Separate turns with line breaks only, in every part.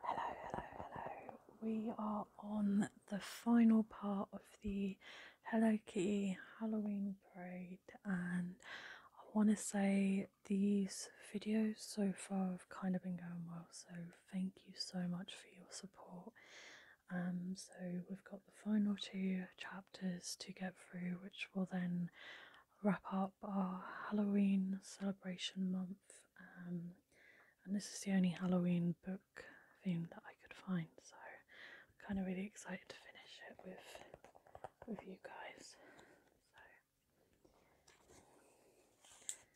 Hello, hello, hello. We are on the final part of the Hello Kitty Halloween parade, and I want to say these videos so far have kind of been going well, so thank you so much for your support. Um, so we've got the final two chapters to get through, which will then wrap up our Halloween celebration month um, and this is the only Halloween book theme that I could find, so I'm kind of really excited to finish it with with you guys.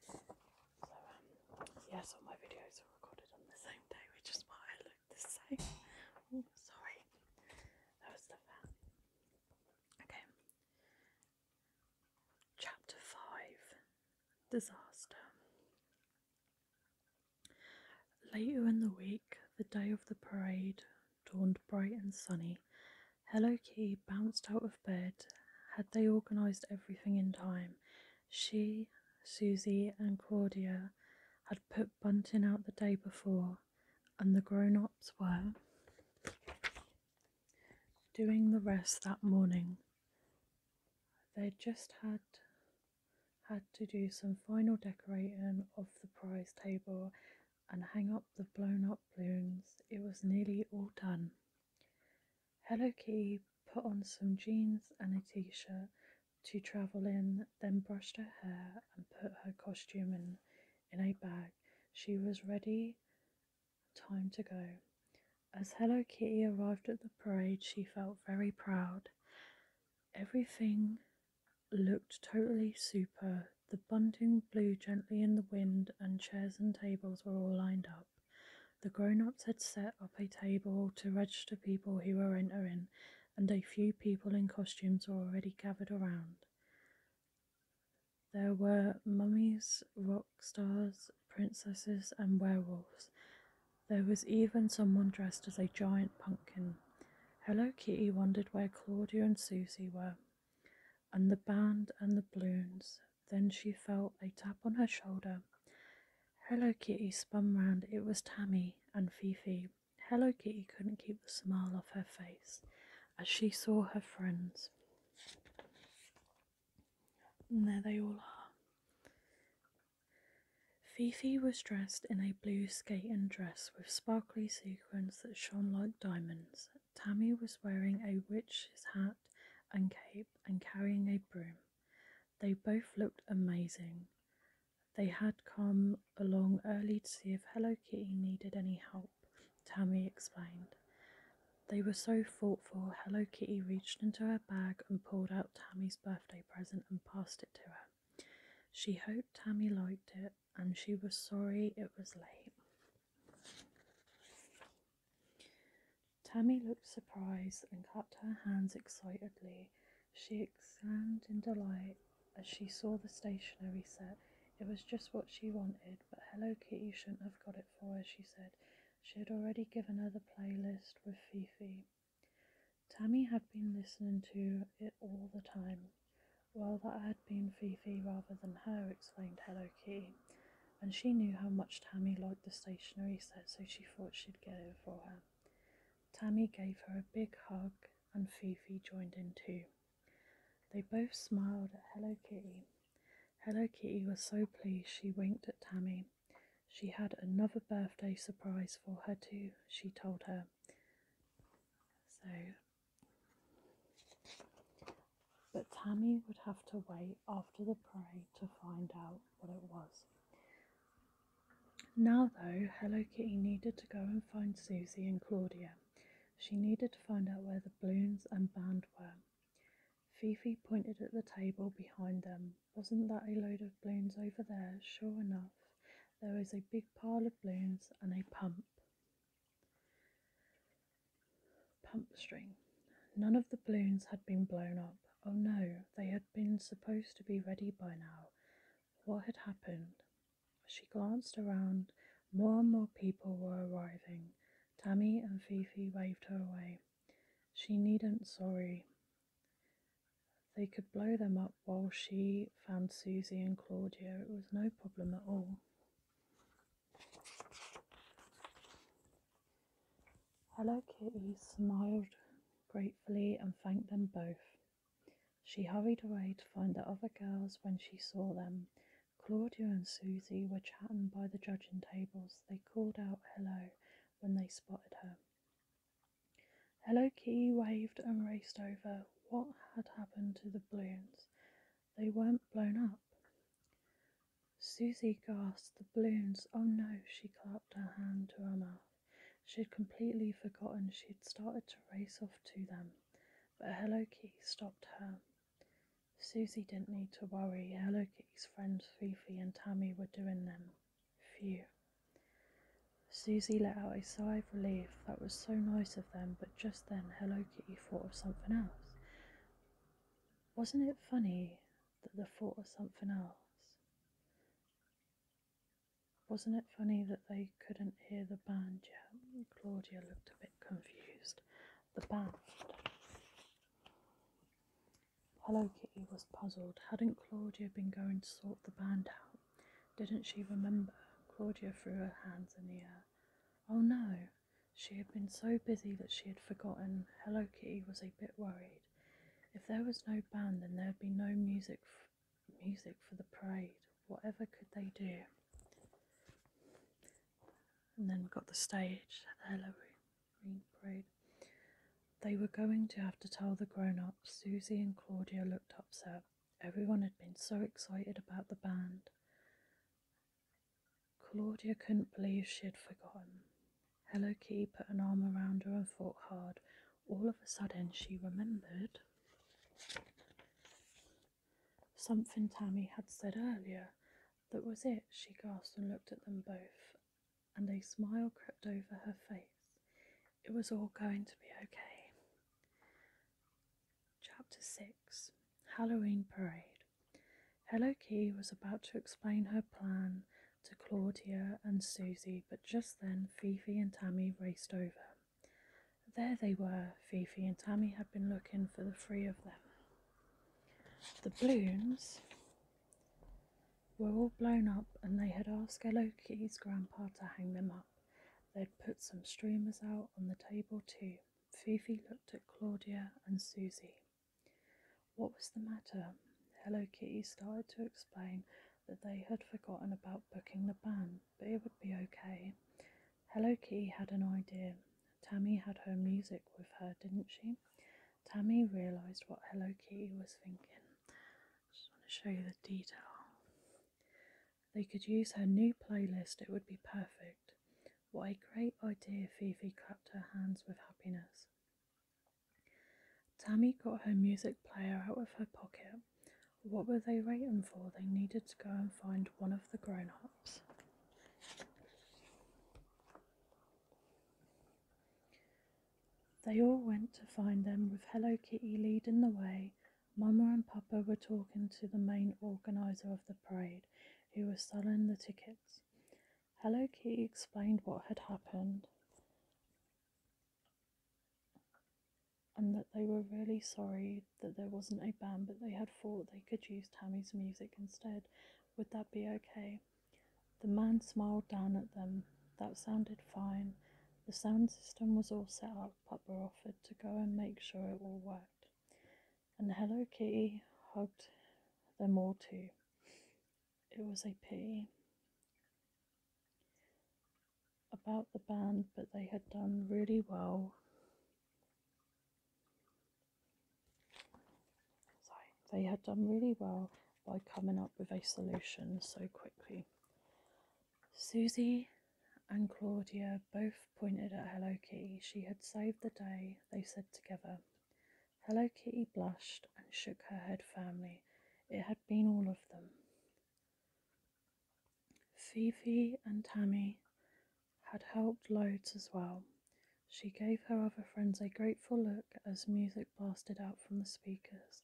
So, um, yes, all my videos are recorded on the same day, which is why I look the same. sorry, that was the fan. Okay, Chapter 5 Disaster. Later in the week, the day of the parade dawned bright and sunny. Hello Key bounced out of bed. Had they organised everything in time? She, Susie, and Claudia had put Bunting out the day before, and the grown ups were doing the rest that morning. They just had had to do some final decorating of the prize table and hang up the blown up balloons. It was nearly all done. Hello Key put on some jeans and a t shirt to travel in, then brushed her hair and put her costume in, in a bag. She was ready Time to go. As Hello Kitty arrived at the parade, she felt very proud. Everything looked totally super. The bunting blew gently in the wind, and chairs and tables were all lined up. The grown ups had set up a table to register people who were entering, and a few people in costumes were already gathered around. There were mummies, rock stars, princesses, and werewolves. There was even someone dressed as a giant pumpkin. Hello Kitty wondered where Claudia and Susie were, and the band and the balloons. Then she felt a tap on her shoulder. Hello Kitty spun round. It was Tammy and Fifi. Hello Kitty couldn't keep the smile off her face as she saw her friends. And there they all are. Fifi was dressed in a blue skating dress with sparkly sequins that shone like diamonds. Tammy was wearing a witch's hat and cape and carrying a broom. They both looked amazing. They had come along early to see if Hello Kitty needed any help, Tammy explained. They were so thoughtful, Hello Kitty reached into her bag and pulled out Tammy's birthday present and passed it to her. She hoped Tammy liked it, and she was sorry it was late. Tammy looked surprised and clapped her hands excitedly. She exclaimed in delight, as she saw the stationery set, it was just what she wanted, but Hello Kitty shouldn't have got it for her, she said. She had already given her the playlist with Fifi. Tammy had been listening to it all the time. Well, that had been Fifi rather than her, explained Hello Kitty, and she knew how much Tammy liked the stationery set, so she thought she'd get it for her. Tammy gave her a big hug, and Fifi joined in too. They both smiled at Hello Kitty. Hello Kitty was so pleased she winked at Tammy. She had another birthday surprise for her too, she told her. So, but Tammy would have to wait after the parade to find out what it was. Now, though, Hello Kitty needed to go and find Susie and Claudia. She needed to find out where the balloons and band were. Fifi pointed at the table behind them. Wasn't that a load of balloons over there? Sure enough, there was a big pile of balloons and a pump. Pump string. None of the balloons had been blown up. Oh no, they had been supposed to be ready by now. What had happened? As She glanced around. More and more people were arriving. Tammy and Fifi waved her away. She needn't worry. They could blow them up while she found Susie and Claudia. It was no problem at all. Hello Kitty smiled gratefully and thanked them both. She hurried away to find the other girls when she saw them. Claudia and Susie were chatting by the judging tables. They called out hello when they spotted her. Hello Key waved and raced over. What had happened to the balloons? They weren't blown up. Susie gasped. The balloons. Oh no, she clapped her hand to her mouth. She'd completely forgotten she'd started to race off to them, but Hello Kitty stopped her. Susie didn't need to worry, Hello Kitty's friends Fifi and Tammy were doing them. Phew. Susie let out a sigh of relief that was so nice of them, but just then Hello Kitty thought of something else. Wasn't it funny that they thought of something else? Wasn't it funny that they couldn't hear the band yet? Claudia looked a bit confused. The band. Hello Kitty was puzzled. Hadn't Claudia been going to sort the band out? Didn't she remember? Claudia threw her hands in the air. Oh no! She had been so busy that she had forgotten. Hello Kitty was a bit worried. If there was no band, then there'd be no music music for the parade. Whatever could they do? And then we got the stage at the Halloween parade. They were going to have to tell the grown ups. Susie and Claudia looked upset. Everyone had been so excited about the band. Claudia couldn't believe she had forgotten. Hello Key put an arm around her and thought hard, all of a sudden she remembered something Tammy had said earlier. That was it, she gasped and looked at them both, and a smile crept over her face. It was all going to be okay. Chapter 6 Halloween Parade Hello Key was about to explain her plan to Claudia and Sue but just then Fifi and Tammy raced over. There they were. Fifi and Tammy had been looking for the three of them. The balloons were all blown up, and they had asked Hello Kitty's grandpa to hang them up. They'd put some streamers out on the table too. Fifi looked at Claudia and Susie. What was the matter? Hello Kitty started to explain, that they had forgotten about booking the band, but it would be okay. Hello Key had an idea. Tammy had her music with her, didn't she? Tammy realised what Hello Key was thinking. I just want to show you the detail. They could use her new playlist, it would be perfect. What a great idea, Fifi clapped her hands with happiness. Tammy got her music player out of her pocket. What were they waiting for? They needed to go and find one of the grown ups. They all went to find them with Hello Kitty leading the way. Mama and Papa were talking to the main organiser of the parade, who was selling the tickets. Hello Kitty explained what had happened and that they were really sorry that there wasn't a band but they had thought they could use Tammy's music instead. Would that be okay? The man smiled down at them. That sounded fine. The sound system was all set up, but were offered to go and make sure it all worked. And Hello Kitty hugged them all too it was a pity about the band, but they had done really well. they had done really well by coming up with a solution so quickly. Susie and Claudia both pointed at Hello Kitty. She had saved the day, they said together. Hello Kitty blushed and shook her head firmly. It had been all of them. Fifi and Tammy had helped loads as well. She gave her other friends a grateful look as music blasted out from the speakers.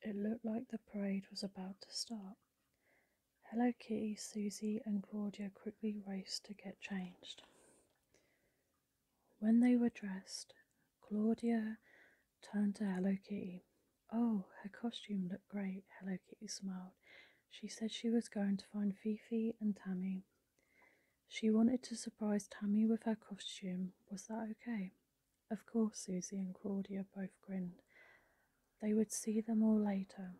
It looked like the parade was about to start. Hello Kitty, Susie, and Claudia quickly raced to get changed. When they were dressed, Claudia turned to Hello Kitty. Oh, her costume looked great, Hello Kitty smiled. She said she was going to find Fifi and Tammy. She wanted to surprise Tammy with her costume. Was that okay? Of course, Susie and Claudia both grinned. They would see them all later.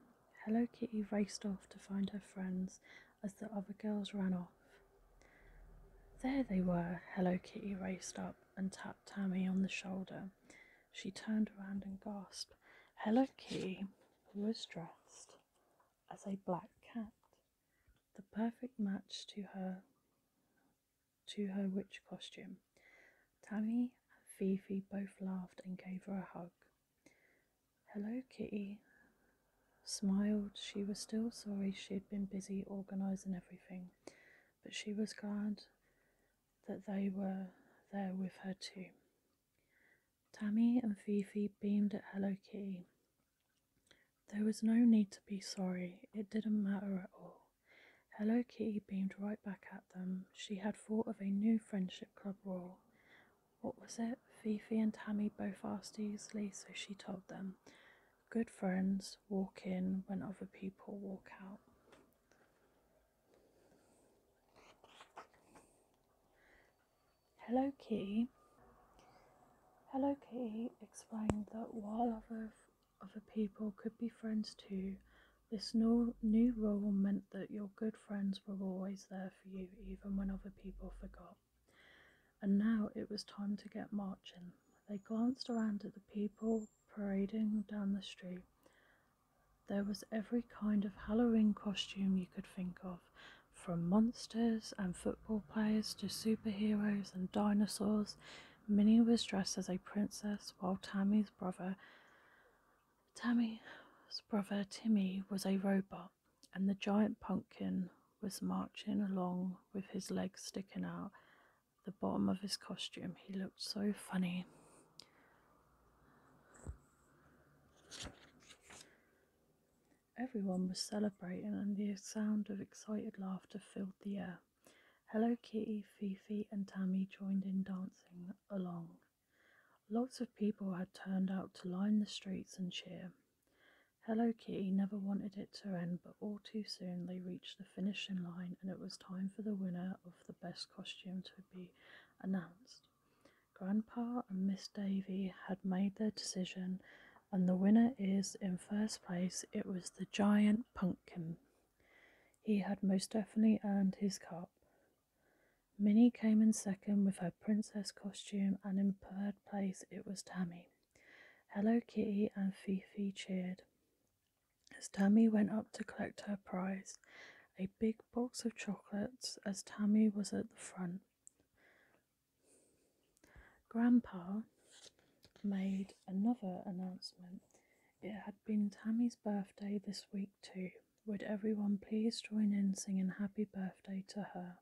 Hello Kitty raced off to find her friends as the other girls ran off. There they were. Hello Kitty raced up and tapped Tammy on the shoulder. She turned around and gasped. Hello Kitty was dressed as a black cat, the perfect match to her to her witch costume. Tammy and Fifi both laughed and gave her a hug. Hello Kitty smiled. She was still sorry she had been busy organising everything, but she was glad that they were there with her too. Tammy and Fifi beamed at Hello Kitty. There was no need to be sorry, it didn't matter at all. Hello Kitty beamed right back at them. She had thought of a new friendship club rule. What was it? Fifi and Tammy both asked easily, so she told them. Good friends walk in when other people walk out. Hello Key. Hello Key explained that while other, other people could be friends too, this new, new rule meant that your good friends were always there for you even when other people forgot. And now it was time to get marching. They glanced around at the people parading down the street. There was every kind of Halloween costume you could think of, from monsters and football players to superheroes and dinosaurs. Minnie was dressed as a princess, while Tammy's brother, Tammy's brother Timmy, was a robot and the giant pumpkin was marching along with his legs sticking out the bottom of his costume. He looked so funny. Everyone was celebrating, and the sound of excited laughter filled the air. Hello Kitty, Fifi, and Tammy joined in dancing along. Lots of people had turned out to line the streets and cheer. Hello Kitty never wanted it to end, but all too soon they reached the finishing line and it was time for the winner of the best costume to be announced. Grandpa and Miss Davy had made their decision, and the winner is, in first place, it was the giant pumpkin. He had most definitely earned his cup. Minnie came in second with her princess costume and in place, it was Tammy. Hello Kitty and Fifi cheered. As Tammy went up to collect her prize, a big box of chocolates, as Tammy was at the front. Grandpa made another announcement. It had been Tammy's birthday this week, too. Would everyone please join in singing happy birthday to her?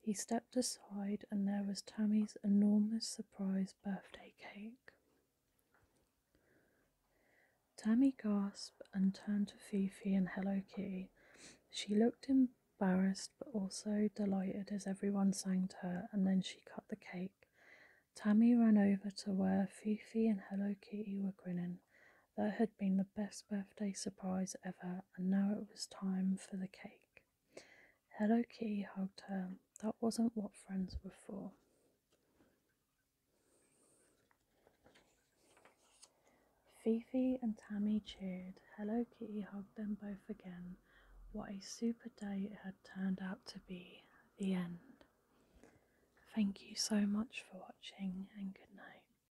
He stepped aside, and there was Tammy's enormous surprise birthday cake. Tammy gasped and turned to Fifi and Hello Kitty. She looked embarrassed but also delighted as everyone sang to her, and then she cut the cake. Tammy ran over to where Fifi and Hello Kitty were grinning. That had been the best birthday surprise ever, and now it was time for the cake. Hello Kitty hugged her. That wasn't what friends were for. Fifi and Tammy cheered. Hello Kitty hugged them both again. What a super day it had turned out to be. The end. Thank you so much for watching and good night.